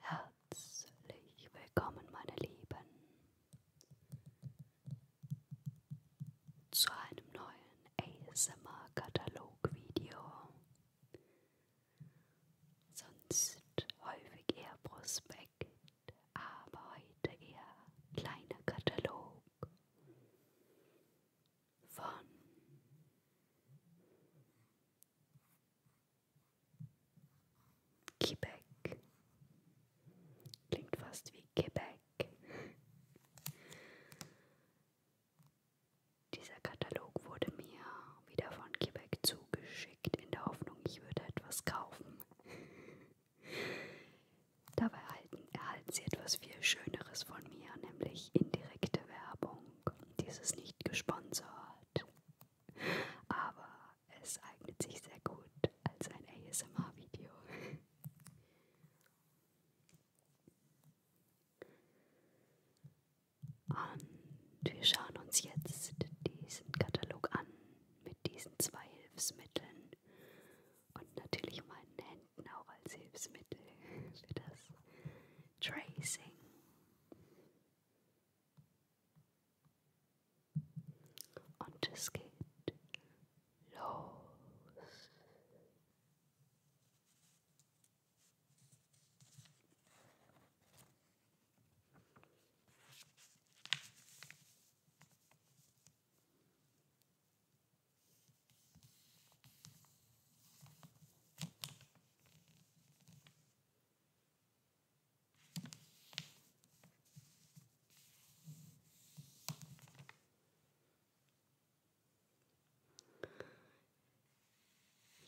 Herzlich willkommen, meine Lieben, zu einem neuen ASMR-Katalog-Video. Sonst häufig eher Prospekt, aber heute eher kleiner Katalog von Quebec. Klingt fast wie Quebec. Dieser Katalog wurde mir wieder von Quebec zugeschickt, in der Hoffnung, ich würde etwas kaufen. Dabei erhalten, erhalten Sie etwas viel Schöneres von mir, nämlich indirekte Werbung. Dies ist nicht gesponsert, aber es eignet sich sehr gut als ein ASMR-Video. Und wir schauen uns jetzt diesen Katalog an mit diesen zwei Hilfsmitteln und natürlich um meinen Händen auch als Hilfsmittel für das Tracing. Und es geht los.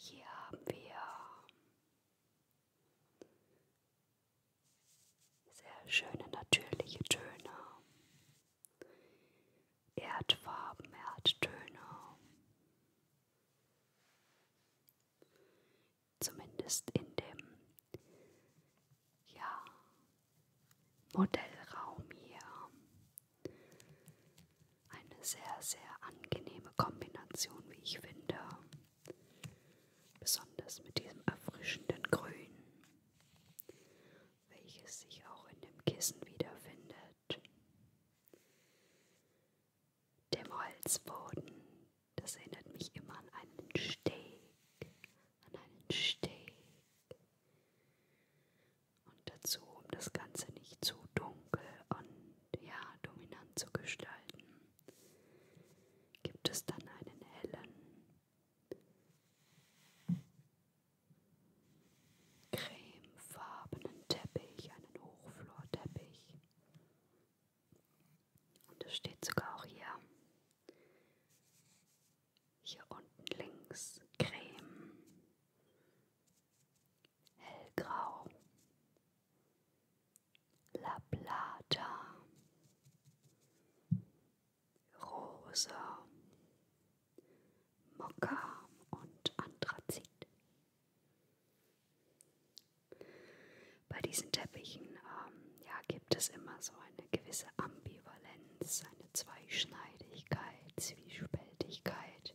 Hier haben wir sehr schöne natürliche Töne. Erdfarben, Erdtöne. Zumindest in dem ja, Modellraum hier. Eine sehr, sehr angenehme Kombination, wie ich finde. Besonders mit diesem erfrischenden Grün welches sich auch in dem Kissen wiederfindet. Dem Holzboden, das erinnert mich immer an einen Steg, an einen Steg. Und dazu, um das Ganze nicht zu dunkel und ja, dominant zu gestalten, gibt es dann einen hellen, cremefarbenen Teppich, einen Hochflorteppich. Und es steht sogar auch hier, hier unten links, Creme, hellgrau, La Plata, Rosa, Mokka und Anthrazit. Bei diesen Teppichen ähm, ja, gibt es immer so eine gewisse Ambivalenz, eine Zweischneidigkeit, Zwiespältigkeit.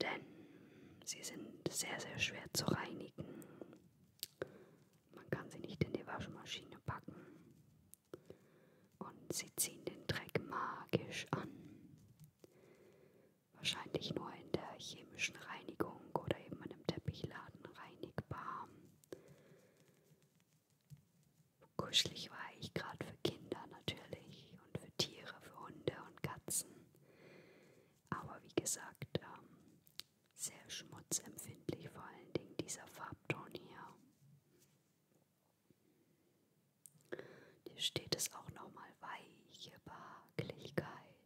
Denn sie sind sehr, sehr schwer zu reinigen. Man kann sie nicht in die Waschmaschine packen. Und sie ziehen den Dreck magisch an. Wahrscheinlich nur in der chemischen Reinigung oder eben in einem Teppichladen reinigbar. Kuschelig war ich gerade für Kinder natürlich und für Tiere, für Hunde und Katzen. Aber wie gesagt, ähm, sehr schmutzempfindlich, vor allen Dingen dieser Farbton hier. Hier steht es auch nochmal weiche Behaglichkeit.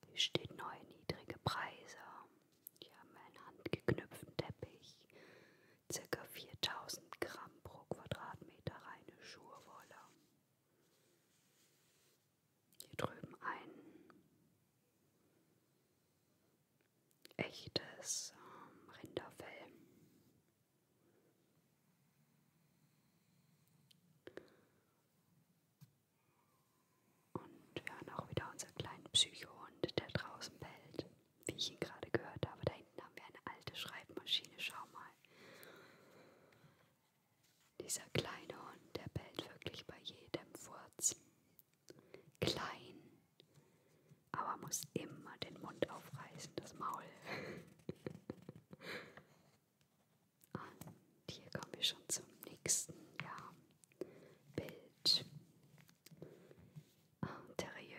Hier steht neu niedrige Preise. Hier haben wir einen handgeknüpften Teppich. Circa 4000 Gramm pro Quadratmeter reine Schurwolle. Hier drüben ein echtes ähm, Rinderfell. Und wir haben auch wieder unseren kleinen Psychohund, der draußen bellt, wie ich ihn gerade gehört habe. Da hinten haben wir eine alte Schreibmaschine, schau mal. Dieser kleine Hund, der bellt wirklich bei jedem Furz. Klein, aber muss immer den Mund aufreißen, das Maul. Und hier komme ich schon zum nächsten ja, Bild. Interieur.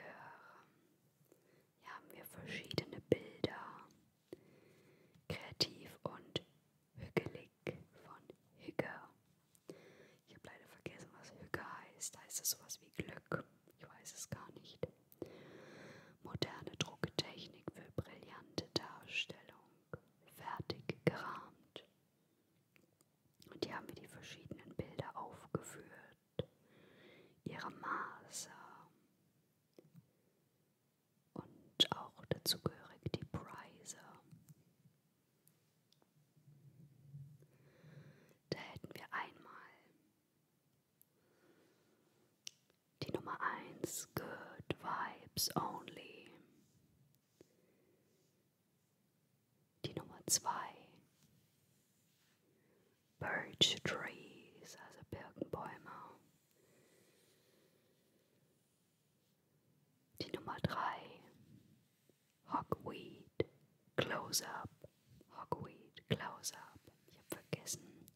Hier haben wir verschiedene Bilder. Kreativ und hügelig von Hügge. Ich habe leider vergessen, was Hügge heißt. Heißt es sowas wie Glück? Ich weiß es gar nicht. Moderne Drucktechnik für brillante Darstellung fertig gerahmt. Und hier haben wir die verschiedenen Bilder aufgeführt, ihre Maße und auch dazugehörig die Preise. Da hätten wir einmal Die Nummer 1, Good Vibes Only. Die Nummer 2, Birch Trees, also Birkenbäume. Die Nummer 3, Hogweed, Close Up. Hogweed, Close Up. Ich habe vergessen.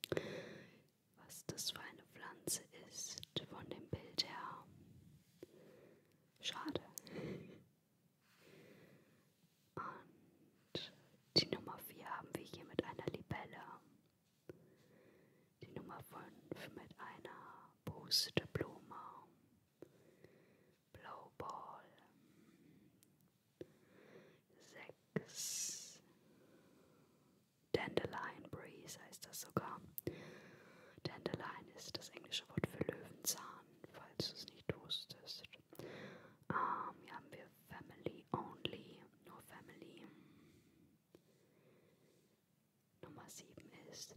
was das für eine Pflanze ist von dem Bild her. Schade. Und die Nummer 4 haben wir hier mit einer Libelle. Die Nummer 5 mit einer Pusteblume. Blowball. 6. Dandelion Breeze heißt das sogar. Dandelion ist das englische Wort für Löwenzahn, falls du es nicht wusstest. Ähm, hier haben wir Family Only, nur Family. Nummer 7 ist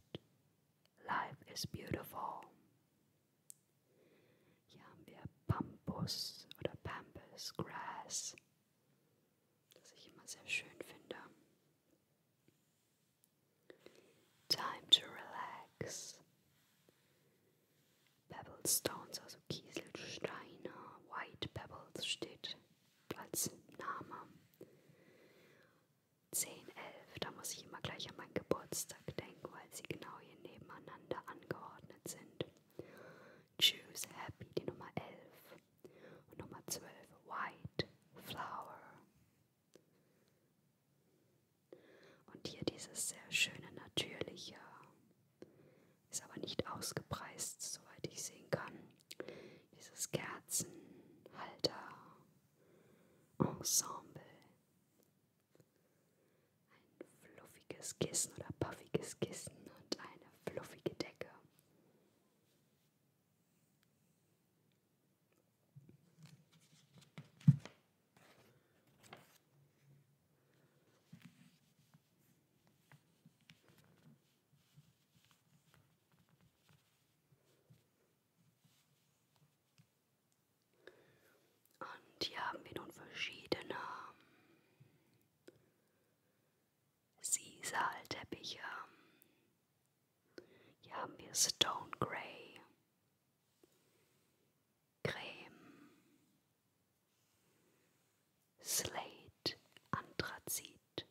Life is Beautiful. Hier haben wir Pampus oder Pampas Grass das ich immer sehr schön finde. Time to relax. Pebblestones, also Kieselsteine, White Pebbles steht als Name. 10, 11, da muss ich immer gleich an meinen Geburtstag denken, weil sie genau hier nebeneinander angeordnet sind. Choose Happy, die Nummer 11. Und Nummer 12, White Flower. Und hier dieses sehr schöne, natürliche, ist aber nicht ausgepreist, soweit ich sehen kann. Dieses Kerzenhalter Ensemble. Ein fluffiges Kissen oder puffiges Kissen und eine fluffige Decke. Und hier haben wir nun verschiedene Sisalteppiche. Ähm, hier haben wir Stone Grey. Creme. Slate Anthrazit.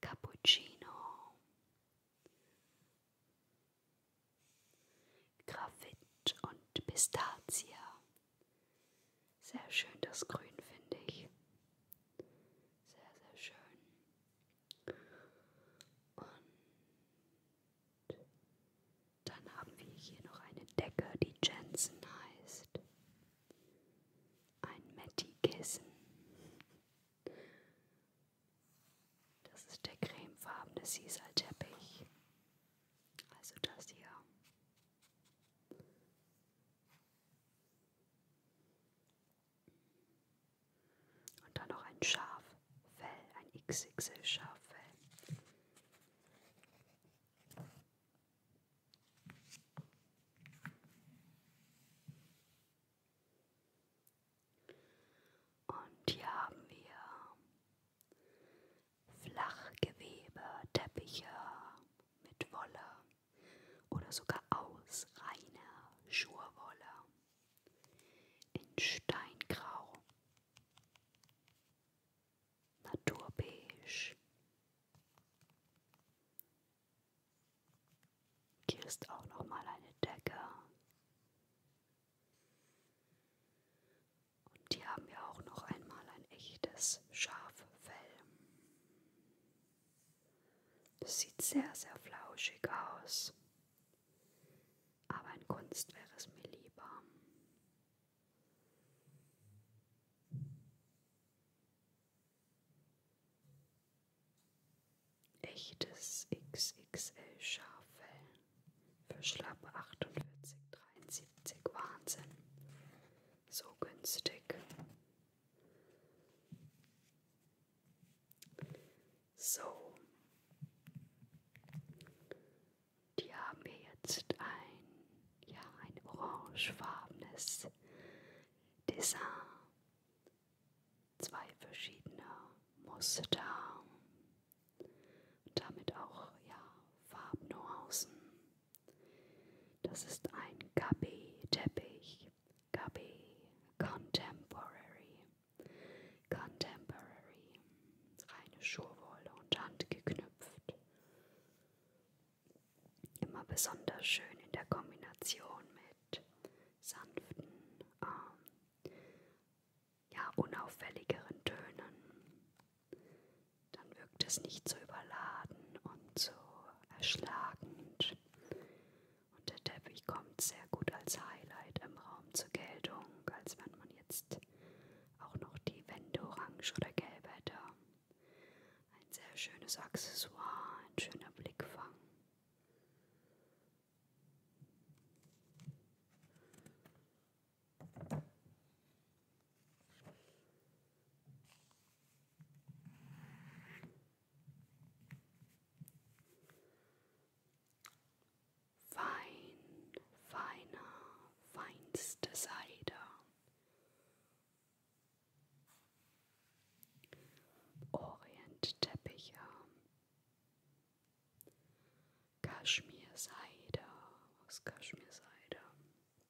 Cappuccino. Graphit und Pistazie. Sehr schön das Grün, finde ich. Sehr, sehr schön. Und dann haben wir hier noch eine Decke, die Jensen heißt. Ein Matty-Kissen. Das ist der cremefarbene Sisal-Teppich. Also das hier. Und dann noch ein Schaffell, ein XXL-Schaffell. Und hier haben wir Flachgewebe, Teppiche mit Wolle oder sogar aus reiner Schurwolle in Steingrau, Naturbeige. Hier ist auch noch mal eine Decke und die haben ja auch noch einmal ein echtes Schaffell. Das sieht sehr, sehr flauschig aus. Aber in Kunst wäre es mir lieber. Echtes XXL-Schaffell für schlappe 48,73. Wahnsinn so günstig. So, die haben wir jetzt ein, ja, ein orangefarbenes Design, zwei verschiedene Muster und damit auch ja Farbnuancen. Das ist ein Gabi-Teppich. Gabi Contemporary. Contemporary. Reine Schurwolle und handgeknüpft. Immer besonders schön in der Kombination mit sanften, ähm, ja, unauffälligeren Tönen dann wirkt es nicht so überladen und so erschlagend. Und der Teppich kommt sehr gut als Highlight im Raum zur Geltung, als wenn man jetzt auch noch die Wände orange oder gelb hätte. Ein sehr schönes Accessoire, ein schöner Blickfang. Fein, feiner, feinste Seide. Orientteppiche, Kaschmirseide aus Kaschmirseide,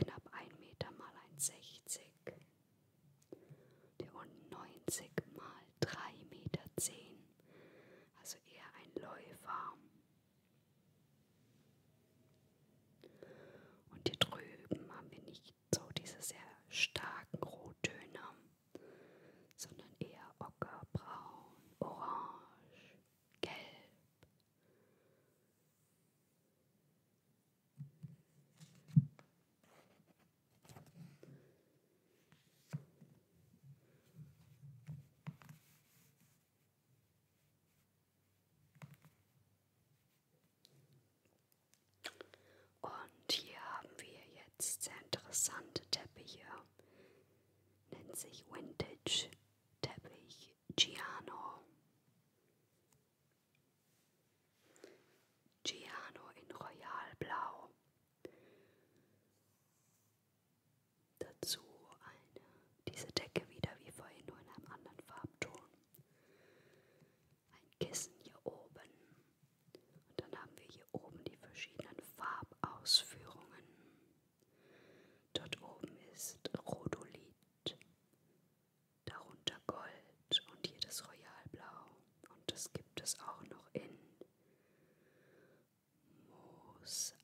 knapp 1 Meter mal 1,60 der unten 90 mal 3,10 Meter, also eher ein Läufer. Und hier drüben haben wir nicht so diese sehr starken Rottöne, sondern eher ockerbraun, orange, Gelb. Und hier haben wir jetzt sehr interessante Teppiche. Nennt sich Vintage. Teppich Giano. Giano in Royalblau. Dazu eine, diese Decke wieder wie vorhin, nur in einem anderen Farbton. Ein Kissen hier oben. Und dann haben wir hier oben die verschiedenen Farbausführungen. Dort oben ist Rhodolit, darunter Gold und hier das Royalblau. Und das gibt es auch noch in Moosachat,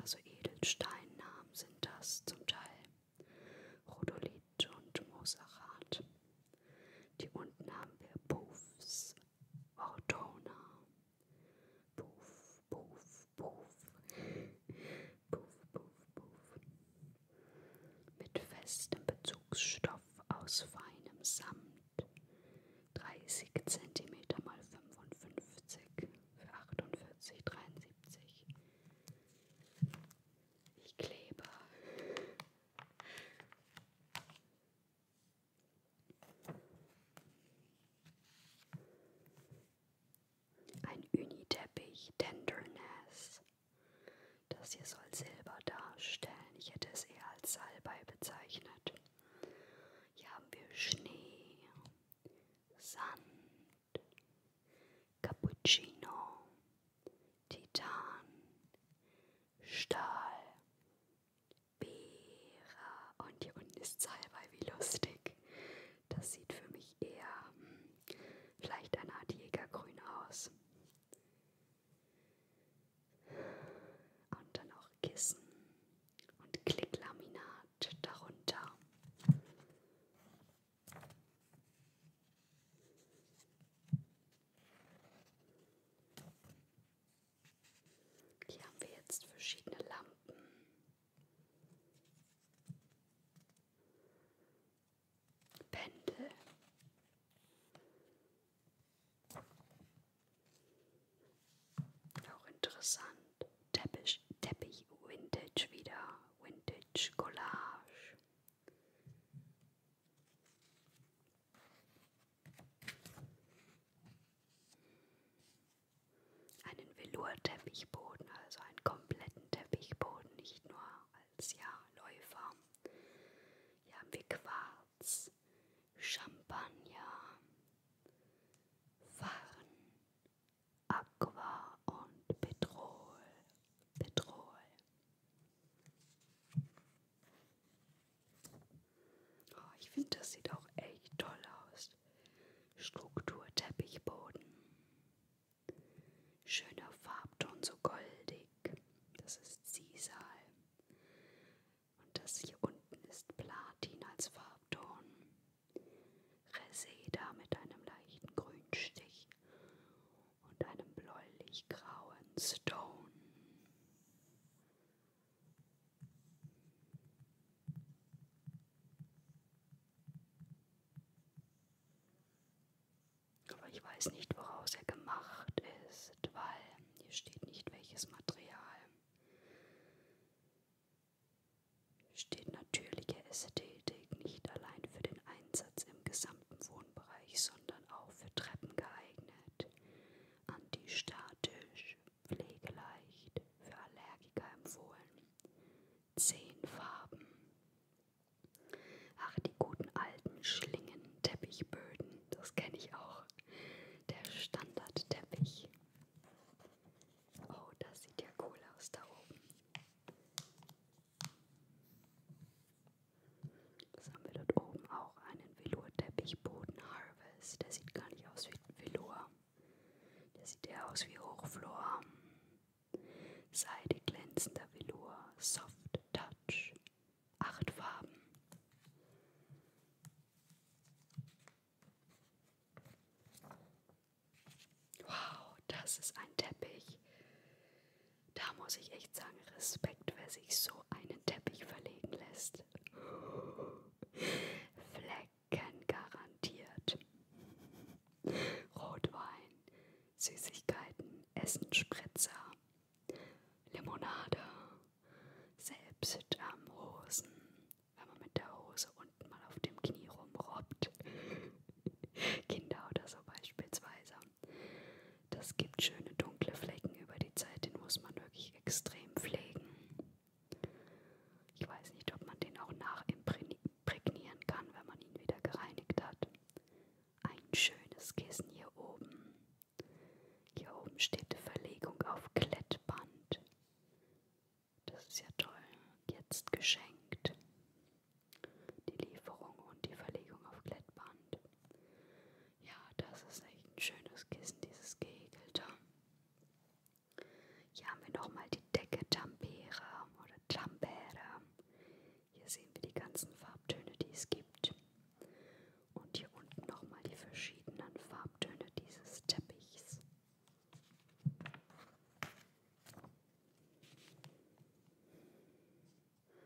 also Edelsteinnamen sind das zum Teil. Rhodolit und Moosachat. Die unten haben wir Puffs, Ortona, Puff, puff, puff. Puff, puff, puff. Mit festem Bezugsstoff aus feinem Samt. 30 cm x 55 für 48, 73. Ich klebe ein Uniteppich Tenderness. Das hier soll Silber darstellen. Ich hätte es eher als Salbei bezeichnet. Hier haben wir Schnee, Sand, Cappuccino, Titan, Stahl, Bera. Und hier unten ist Salbei, wie lustig. Das sieht für mich eher hm, vielleicht eine Art Jägergrün aus. Und dann auch Kissen und Klicklaminat darunter. Hier haben wir jetzt verschiedene Lampen. Pendel. Auch interessant. Teppich, Teppich, Vintage wieder. Vintage Collage. Einen Velour-Teppichboden, also einen kompletten Teppichboden, nicht nur als ja, Läufer. Hier haben wir Quarz, Champagner, Farn, Aqua und Petrol. Petrol. Oh, ich finde, das sieht auch echt toll aus. Struktur Teppichboden. Schöner Farbton, so goldig. Das ist Sisal. Und das hier unten ist Platin als Farbton. Reseda mit einem leichten Grünstich und einem bläulich-grauen Stone. Aber ich weiß nicht, woraus er gemacht ist, weil hier steht nicht welches Material. Steht natürliche Ästhetik nicht allein für den Einsatz im gesamten Wohnbereich, sondern auch für Treppen geeignet, antistatisch, pflegeleicht für Allergiker empfohlen. 10 Farben. Ach, die guten alten Schlingen, Teppichböden, das kenne ich auch. Der Standardteppich. Oh, das sieht ja cool aus da oben. Was haben wir dort oben auch? Ein einen Velour-Teppichboden Harvest. Der sieht gar nicht aus wie Velour. Der sieht eher aus wie Hochflor. Seide glänzender Velour. Soft Touch. Acht Farben. Wow, das ist ein Teppich. Da muss ich echt sagen, Respekt, wer sich so einen Teppich verlegen lässt. Flecken garantiert. Rotwein, Süßigkeiten, Essenspritzer, Limonade, selbst am Hosen, wenn man mit der Hose unten mal auf dem Knie rumrobbt. Kinder oder so beispielsweise. Das gibt schöne dunkle Flecken über die Zeit, den muss man wirklich wirklich extrem pflegen. Ich weiß nicht, ob man den auch nachimprägnieren kann, wenn man ihn wieder gereinigt hat. Ein schönes Kissen hier oben. Hier oben steht Verlegung auf Klettband. Das ist ja toll. Jetzt geschenkt. Die Lieferung und die Verlegung auf Klettband. Ja, das ist echt ein schönes Kissen, dieses gehegelte. Hier haben wir nochmal die Decke Tampere oder Tampere. Hier sehen wir die ganzen Farbtöne, die es gibt. Und hier unten nochmal die verschiedenen Farbtöne dieses Teppichs.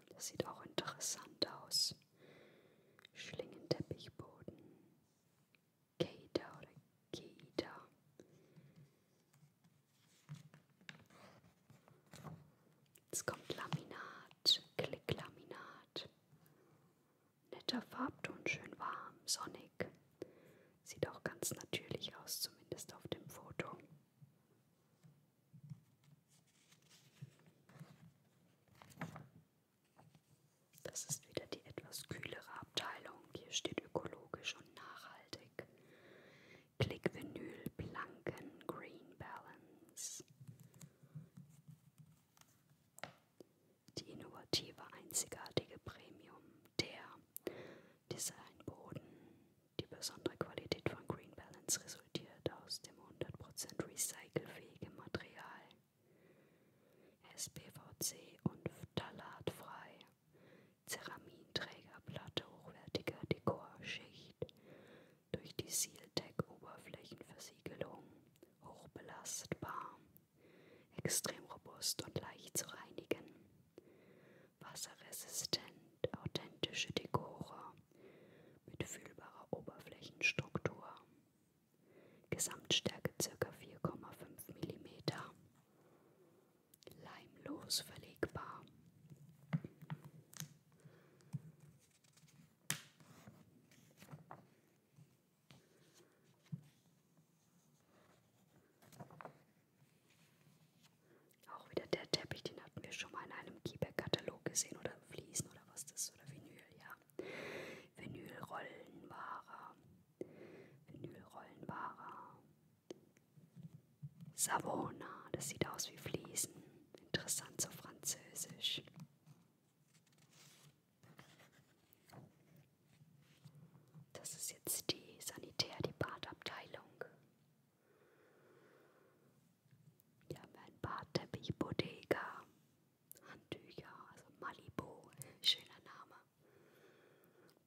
Das sieht auch interessant aus. Schlingenteppichboden, Keita oder Keita. Jetzt kommt Laminat, Klicklaminat. Netter Farbton, schön warm, sonnig. Sieht auch ganz natürlich aus, zumindest auf dem Foto. Das ist wieder die etwas kühlere Abteilung. Hier steht ökologisch und nachhaltig. Klick Vinyl Planken Green Balance. Die innovative, einzigartige Premium, der Designboden. Die besondere Qualität von Green Balance resultiert aus dem 100% recycelfähigen Material. SPVC und Phthalatfrei. Ceraminträgerplatte hochwertiger Dekorschicht. Durch die Sealtec-Oberflächenversiegelung. Hochbelastbar. Extrem robust und leicht zu reinigen. Wasserresistent. Authentische Dekore. Mit fühlbarer Oberflächenstruktur. Gesamtstärke ca. 4,5 mm. Leimlos verlegbar. Auch wieder der Teppich, den hatten wir schon mal in einem Keyback-Katalog gesehen oder Fliesen oder was das ist oder Vinyl, ja. Vinylrollenware, Vinylrollenware, Savona, das sieht aus wie Fliesen, interessant so französisch. Das ist jetzt die Sanitär, die Badabteilung. Hier haben wir ein Badteppich Bodega. Handtücher, also Malibu, schöner Name.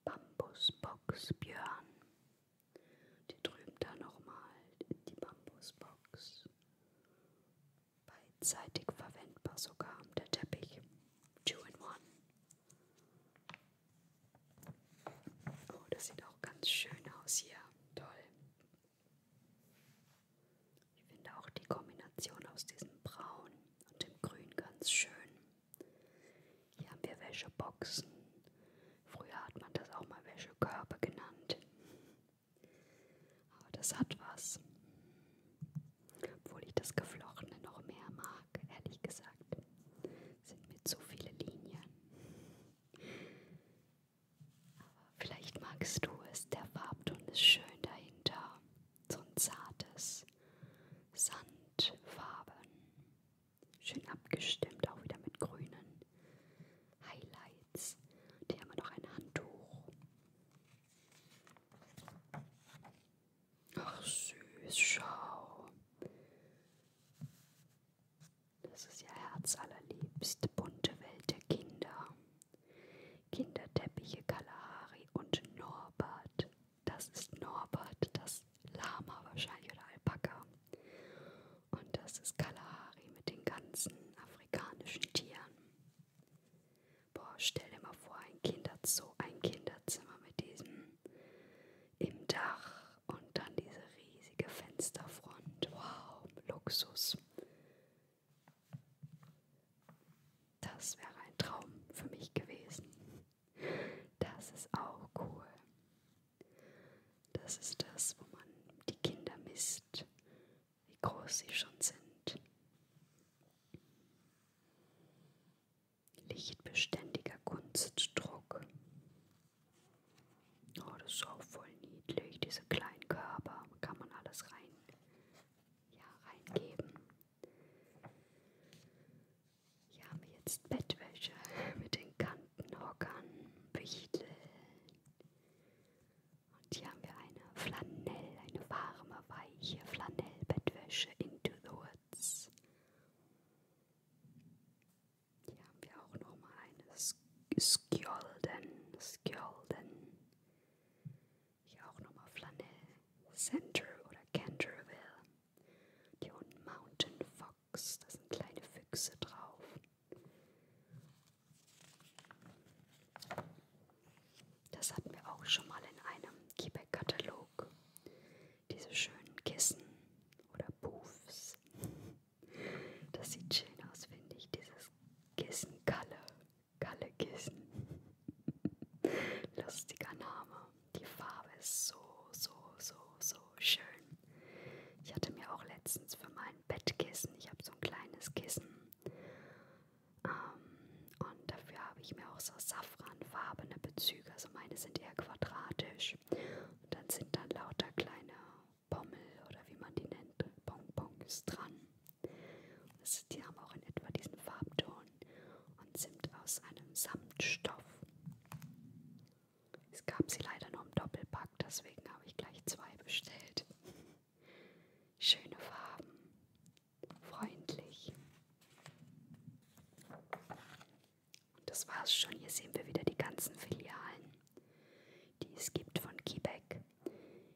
Bambusbox Björn. Die drüben da nochmal die Bambusbox. Beidseitig verwendbar sogar der Teppich. Two in one. Oh, das sieht auch ganz schön aus hier. Toll. Ich finde auch die Kombination aus diesem Braun und dem Grün ganz schön. Hier haben wir Wäscheboxen. Früher hat man das auch mal Wäschekörbe genannt. Aber das hat was. Obwohl ich das Geflochtene noch mehr mag, ehrlich gesagt. Sind mir zu viele Linien. Vielleicht magst du es, der Farbton ist schön dahinter, so ein zartes Sandfarben, schön abgestimmt, auch wieder mit grünen Highlights. Und hier haben wir noch ein Handtuch. Ach süß, schau. Das ist ja herzallerliebst, bunte Welt der Kinder. Kinderteppiche Kalahari und Norbert. Das ist Norbert, das Lama wahrscheinlich oder Alpaka. Und das ist Kalahari mit den ganzen afrikanischen Tieren. Boah, stell dir mal vor, ein Kinderzoo, ein Kinderzimmer mit diesem im Dach und dann diese riesige Fensterfront. Wow, Luxus. Das wäre ein Traum für mich gewesen. Das ist auch cool. Das ist das, wo man die Kinder misst, wie groß sie schon sind. Lichtbeständiger Kunstdruck. Oh, das ist auch voll niedlich, diese kleinen Körper. Kann man alles rein, ja, reingeben. Hier haben wir jetzt Bettwäsche mit den Kantenhockern, Wichteln. Und hier haben wir eine Flanell, eine warme, weiche Flanell-Bettwäsche into the woods. Hier haben wir auch nochmal eine Skjolden, Skjolden. Hier auch nochmal Flanell, Center oder Canterville. Die unten Mountain Fox, da sind kleine Füchse drauf. Das hatten wir auch schon mal in einem Quebec-Katalog. Diese schönen Kissen oder Puffs. Das sieht schön aus, finde ich, dieses Kissen Kalle. Kalle Kissen. Lustiger Name. Die Farbe ist so, so, so, so schön. Ich hatte mir auch letztens für mein Bettkissen, ich habe so ein kleines Kissen. Ähm, und dafür habe ich mir auch so safranfarbene Bezüge. Also meine sind eher quadratisch. Und dann sind dann lauter kleine Pommel oder wie man die nennt, Bonbons dran. Das, die haben auch in etwa diesen Farbton und sind aus einem Samtstoff. Es gab sie leider nur im Doppelpack, deswegen habe ich gleich zwei bestellt. Schöne Farben, freundlich. Und das war's schon. Hier sehen wir wieder die ganzen Filialen die es gibt von Quebec,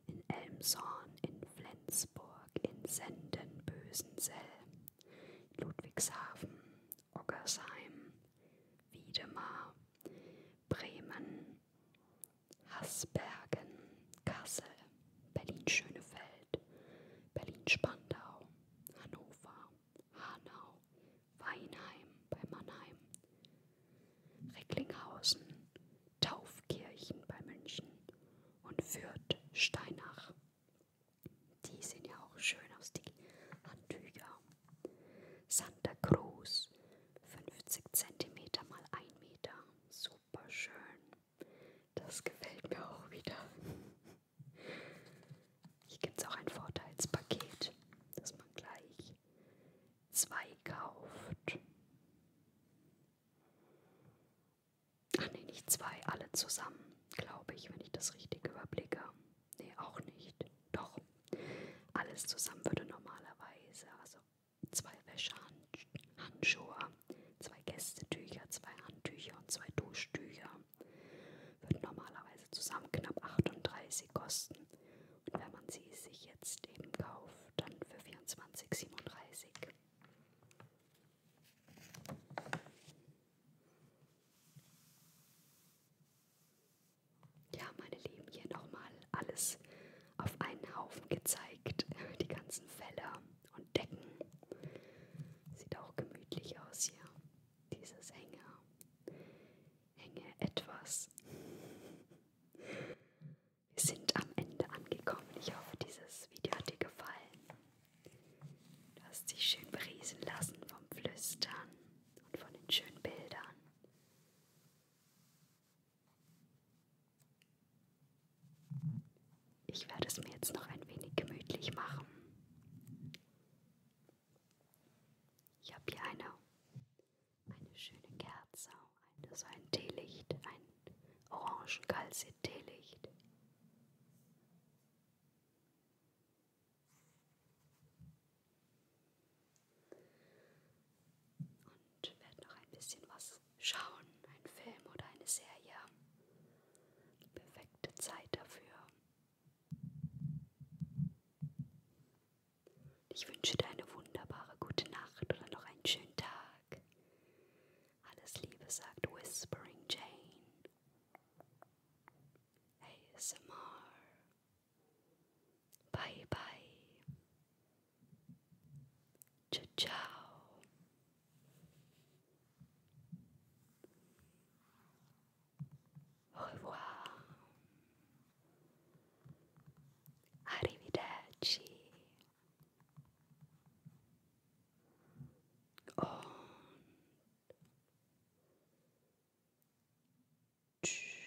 in Elmshorn, in Flensburg, in Senden, Bösenzell, Ludwigshafen, Oggersheim, Wiedemar, Bremen, Hasbergen, Kassel, Berlin-Schönefeld, Berlin-Spandau, Hannover, Hanau, Weinheim bei Mannheim, Recklinghausen, Taufkirchen bei München und Fürth, Steinach. Die sehen ja auch schön aus, die Handtücher. Santa Cruz, 50 cm mal 1 Meter. Super schön. Das gefällt mir auch wieder. Hier gibt es auch ein Vorteilspaket, dass man gleich zwei kauft. Ach nee, nicht zwei, alle zusammen, glaube ich, wenn ich das richtig überblicke. Nee, auch nicht. Doch, alles zusammen würde normalerweise, also zwei Wäschehandschuhe, zwei Gästetücher, zwei Handtücher und zwei Duschtücher, würden normalerweise zusammen knapp 38 kosten wenn man sie sich jetzt eben kauft, dann für 24,37. Ja, meine Lieben, hier nochmal alles auf einen Haufen gezeigt. Die ganzen Feller und Decken. Sieht auch gemütlich aus hier. Dieses enge, enge etwas. Wir sind am Ende angekommen. Ich hoffe, dieses Video hat dir gefallen. Du hast dich schön beriesen lassen vom Flüstern und von den schönen Bildern. Ich werde es mir jetzt noch ein wenig gemütlich machen. Ich habe hier eine eine schöne Kerze, ein, so ein Teelicht, ein Orangenkalzit-Teelicht. Und werde noch ein bisschen was schauen, ein Film oder eine Serie. Perfekte Zeit dafür. Ich wünsche dir eine wunderbare gute Nacht oder noch einen schönen Tag. Alles Liebe, sagt Whispering Jane. ASMR. Bye bye. Ciao, ciao. Au revoir. Arrivederci. Und tschüss.